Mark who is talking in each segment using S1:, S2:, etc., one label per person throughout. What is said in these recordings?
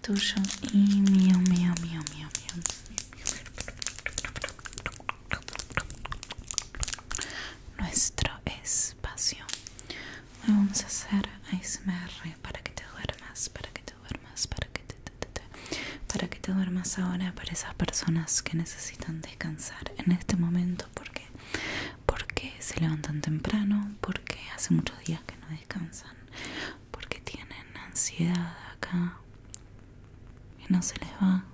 S1: tuyo y mío, mío, mío, mío, mío. Nuestro espacio. vamos a hacer ASMR para que te duermas, para que te duermas, para que te, para que te duermas ahora para esas personas que necesitan descansar en este momento porque porque se levantan temprano, porque hace muchos días que no descansan porque tienen ansiedad acá y no se les va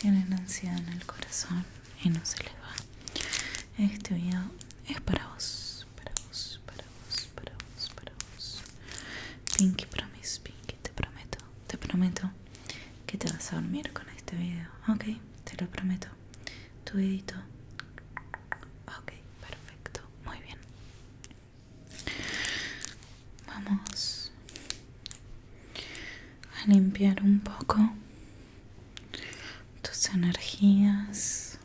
S1: tienen ansiedad en el corazón y no se les va este video es para vos para vos para vos para vos para vos Pinky promise Pinky te prometo te prometo que te vas a dormir con este video ok te lo prometo tu dedito ok perfecto muy bien vamos a limpiar un poco tus energías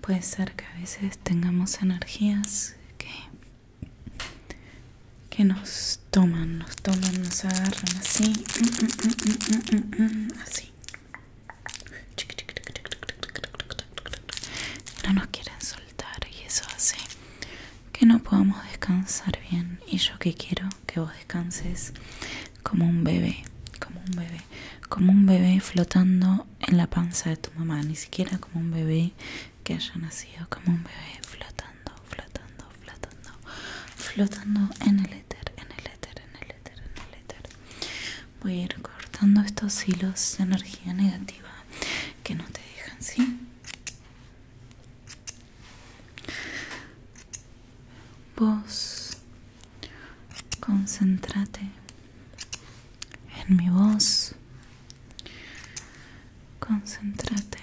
S1: puede ser que a veces tengamos energías que nos toman nos toman nos agarran así mm, mm, mm, así no nos quieren soltar y eso hace que no podamos descansar bien. Y yo que quiero que vos descanses como un bebé, como un bebé, como un bebé flotando en la panza de tu mamá, ni siquiera como un bebé que haya nacido, como un bebé flotando, flotando, flotando, flotando en el éter, en el éter, en el Voy a ir cortando estos hilos de energía negativa que no te dejan, ¿sí? Vos, concéntrate en mi voz, concéntrate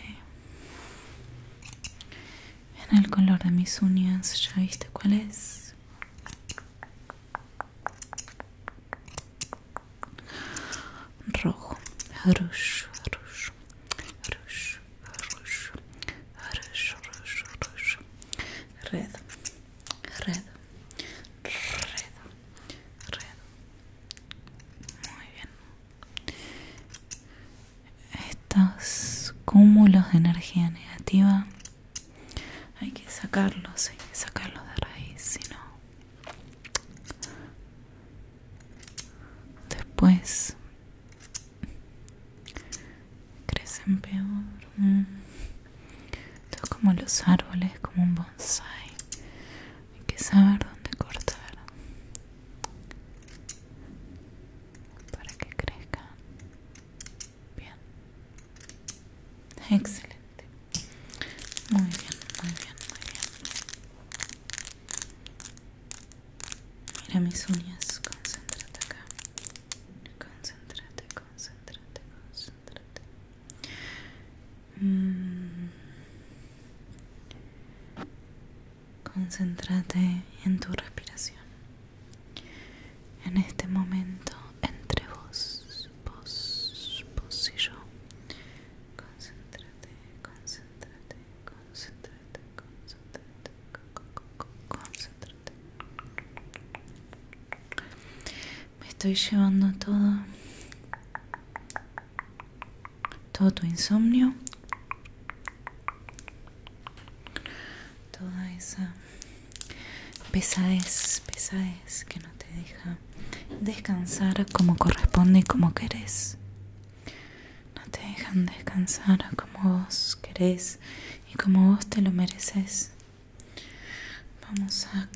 S1: en el color de mis uñas, ¿ya viste cuál es? Rojo, rojo rojo, rojo, rojo, rojo, rojo, Red, red, red, red. Muy bien estos cúmulos de energía negativa hay que sacarlos, hay que sacarlos de raíz, si no después crecen peor. es mm. como los árboles, como un bonsai. Hay que saber dónde cortar para que crezca bien excelente muy bien muy bien muy bien mira mis uñas concéntrate acá concéntrate concéntrate concéntrate mm. Concéntrate en tu respiración. En este momento, entre vos, vos, vos y yo. Concéntrate, concéntrate, concéntrate, concéntrate, concéntrate. Me estoy llevando todo, todo tu insomnio toda esa pesadez, pesadez que no te deja descansar como corresponde y como querés. No te dejan descansar como vos querés y como vos te lo mereces. Vamos a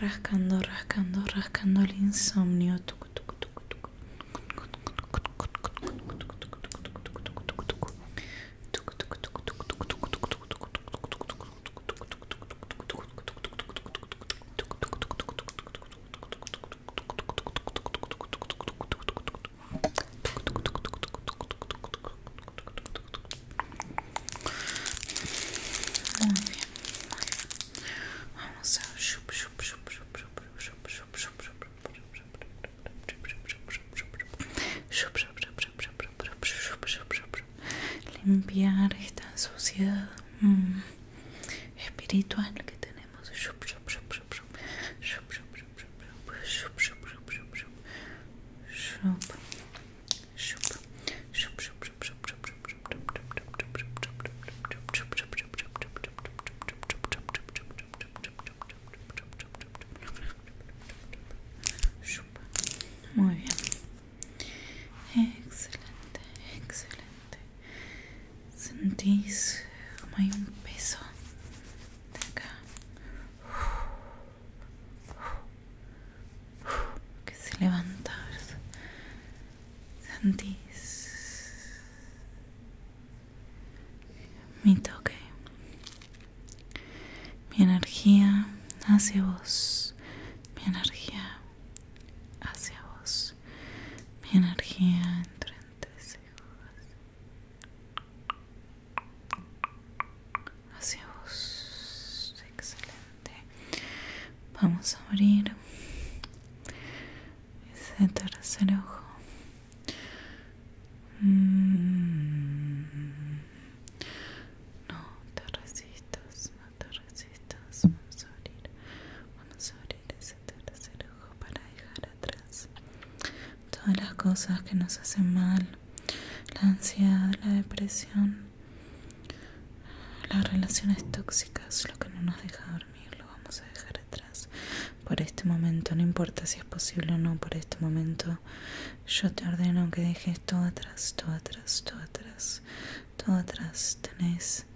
S1: Rascando, rascando, rascando el insomnio. Muy Vamos a limpiar esta suciedad mm, espiritual que tenemos muy bien excelente excelente Sentís como hay un peso de acá que se levanta. Sentís mi toque, mi energía hacia vos, mi energía hacia vos, mi energía entre ustedes? hacia vos excelente vamos a abrir ese tercer ojo mm. no te resistas no te resistas vamos a abrir vamos a abrir ese tercer ojo para dejar atrás todas las cosas que nos hacen mal, la ansiedad, la depresión, las relaciones tóxicas, lo que no nos deja dormir, lo vamos a dejar atrás por este momento, no importa si es posible o no, por este momento yo te ordeno que dejes todo atrás, todo atrás, todo atrás, todo atrás, tenés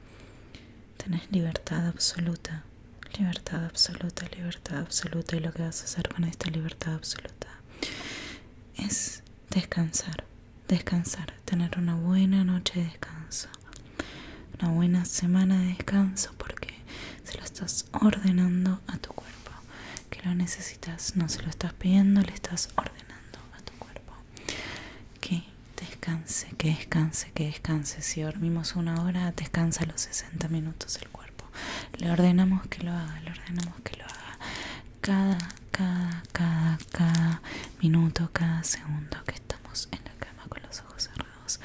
S1: tenés libertad absoluta, libertad absoluta, libertad absoluta y lo que vas a hacer con esta libertad absoluta es descansar, descansar, tener una buena noche de descanso, una buena semana de descanso porque se lo estás ordenando a tu cuerpo, que lo necesitas, no se lo estás pidiendo, le estás ordenando a tu cuerpo que Descanse, que descanse, que descanse. Si dormimos una hora, descansa los 60 minutos el cuerpo. Le ordenamos que lo haga, le ordenamos que lo haga. Cada, cada, cada, cada minuto, cada segundo que estamos en la cama con los ojos cerrados,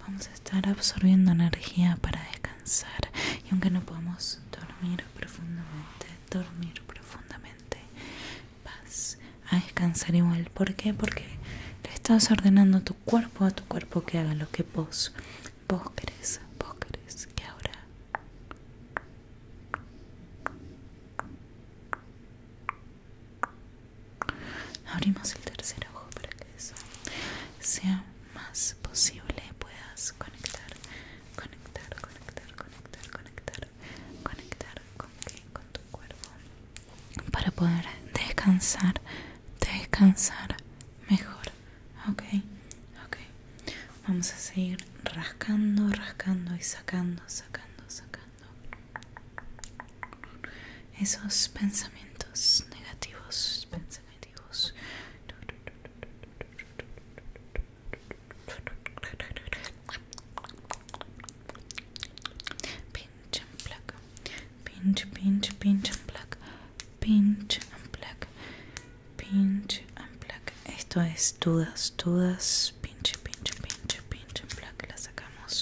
S1: vamos a estar absorbiendo energía para descansar. Y aunque no podamos dormir profundamente, dormir profundamente, paz a descansar igual. ¿Por qué? Porque le estás ordenando a tu cuerpo, a tu cuerpo que haga lo que vos, vos querés, vos querés que ahora. Abrimos el tercer ojo para que eso sea más posible. Puedas conectar, conectar, conectar, conectar, conectar, conectar, con, tu cuerpo para poder descansar, descansar mejor. Ok, ok. Vamos a seguir rascando, rascando y sacando, sacando, sacando esos pensamientos negativos, Pensamientos pinch and pluck pinch pinch pinch and pluck pinch and pluck pinch and esto es dudas dudas pinch pinch pinch pinch and pluck la sacamos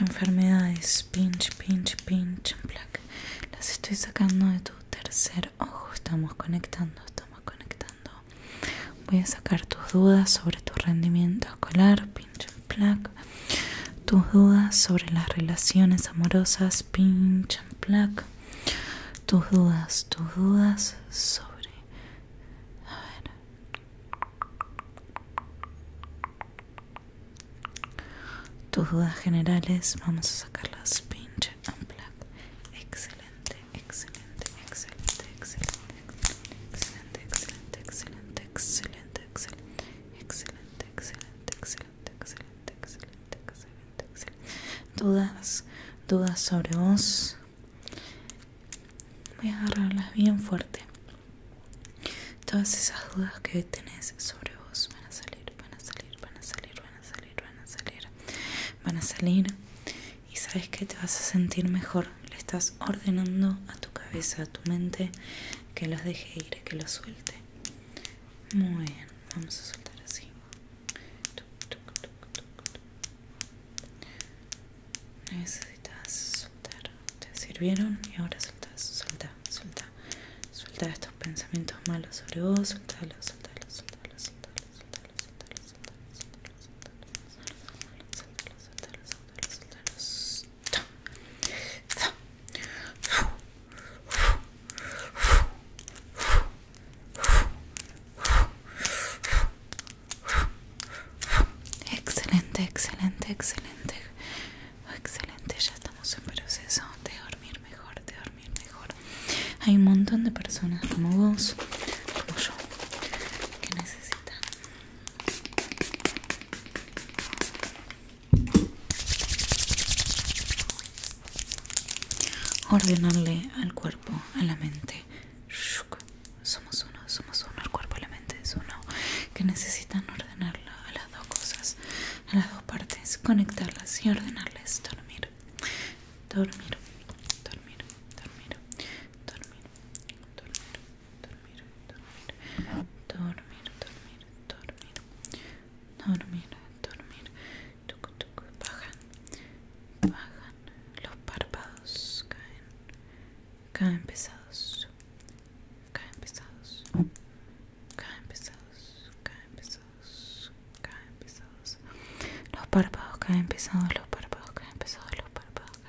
S1: enfermedades pinch pinch pinch and las estoy sacando de tu tercer ojo estamos conectando estamos conectando Voy a sacar tus dudas sobre tu rendimiento escolar, pinche and plug Tus dudas sobre las relaciones amorosas, pinch and plug Tus dudas, tus dudas sobre. A ver. Tus dudas generales, vamos a sacarlas pinch and plug Excelente, excelente, excelente, excelente. Excelente, excelente, excelente, excelente, excelente, excelente, excelente, excelente, excelente, excelente, Dudas, dudas sobre vos. Voy a agarrarlas bien fuerte. Todas esas dudas que hoy tenés sobre vos van a salir, van a salir, van a salir, van a salir, van a salir, van a salir. Y sabes que te vas a sentir mejor le estás ordenando a tu cabeza, a tu mente, que los deje ir, que los suelte. Muy bien, vamos a soltar así. Necesitas soltar. ¿Te sirvieron? Y ahora suelta, soltá suelta Suelta estos pensamientos malos sobre vos, suéltalos, suéltalos, suéltalos, suéltalos soltá. Excelente, excelente, excelente. Excelente, ya estamos en proceso de dormir mejor, de dormir mejor. Hay un montón de personas como vos, como yo, que necesitan Ordenarle al cuerpo, a la mente. Somos uno, somos uno, el cuerpo y la mente es uno. Que necesitan ordenarlo a las dos cosas, a las dos partes, conectarlas y ordenarles. Dormir, dormir, dormir, dormir, dormir, dormir, dormir, dormir, dormir, dormir, dormir, dormir, dormir, tucu, tucu, bajan, bajan, los párpados caen, caen pesados, caen pesados, caen pesados, caen pesados, caen pesados, los párpados caen pesados, los párpados caen pesados, los párpados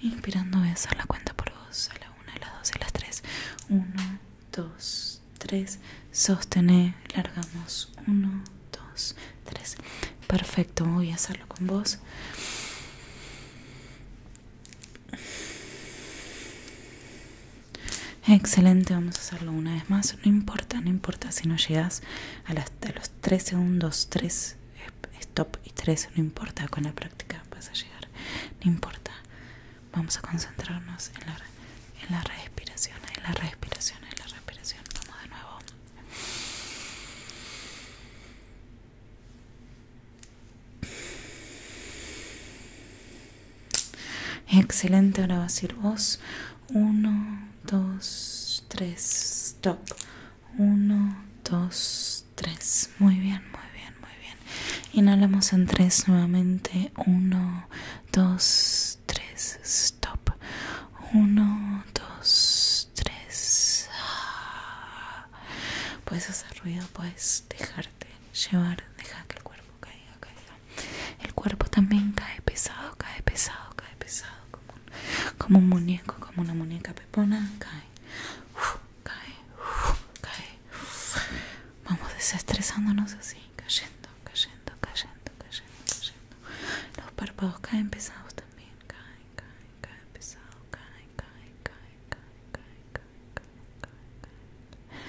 S1: Inspirando voy a hacer la cuenta por vos. A la 1, a las 2 y a las 3. 1, 2, 3. Sostener. Largamos. 1, 2, 3. Perfecto. Voy a hacerlo con vos. Excelente, vamos a hacerlo una vez más. No importa, no importa si no llegas a, a los 3 segundos, 3 stop y tres, no importa, con la práctica vas a llegar, no importa. Vamos a concentrarnos en la, respiración, en la respiración, en la respiración. Vamos de nuevo. Excelente, ahora vas a ir vos. Uno, dos, tres, stop. 1 2 3 muy bien muy bien muy bien inhalamos en 3 nuevamente 1 2 3 stop 1 2 3 puedes hacer ruido puedes dejarte llevar deja que el cuerpo caiga caiga el cuerpo también cae pesado cae pesado cae pesado como un, como un muñeco como una muñeca pepona cae cae, cae, Vamos desestresándonos así, cayendo, cayendo, cayendo, cayendo, cayendo. Los párpados caen pesados también, caen, caen, caen pesados, caen, caen, caen, caen, caen, caen, caen,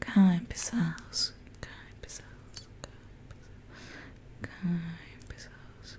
S1: caen, caen, pesados, caen pesados, caen pesados,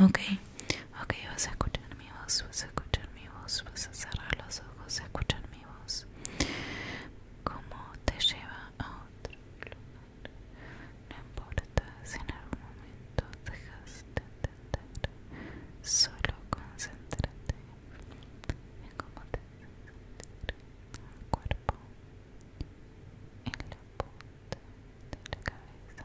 S1: ok, ok, vas a escuchar mi voz, vas a escuchar mi voz, vas a cerrar los ojos, vas a escuchar mi voz, cómo te lleva a otro lugar, no importa si en algún momento dejas de entender, solo concéntrate en cómo te en el cuerpo, en la punta de la cabeza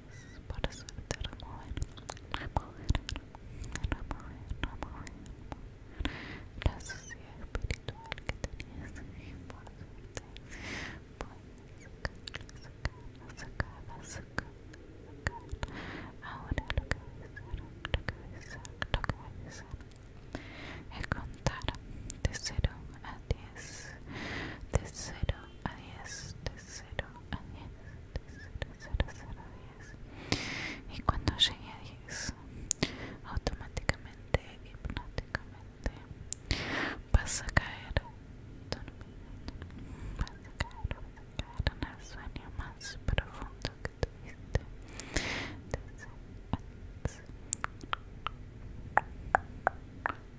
S1: por suerte remover, remover, remover, remover la suciedad espiritual que tenías y por suerte puedes sacar, sacar, sacar, sacar, ahora lo que voy a hacer, lo que voy a hacer, lo que voy a hacer es contar de 0 a 10 de 0 a 10 de 0 a 10 y cuando llegue a 10 automáticamente hipnóticamente vas a caer dormido vas a caer, vas a caer en el sueño más profundo que tuviste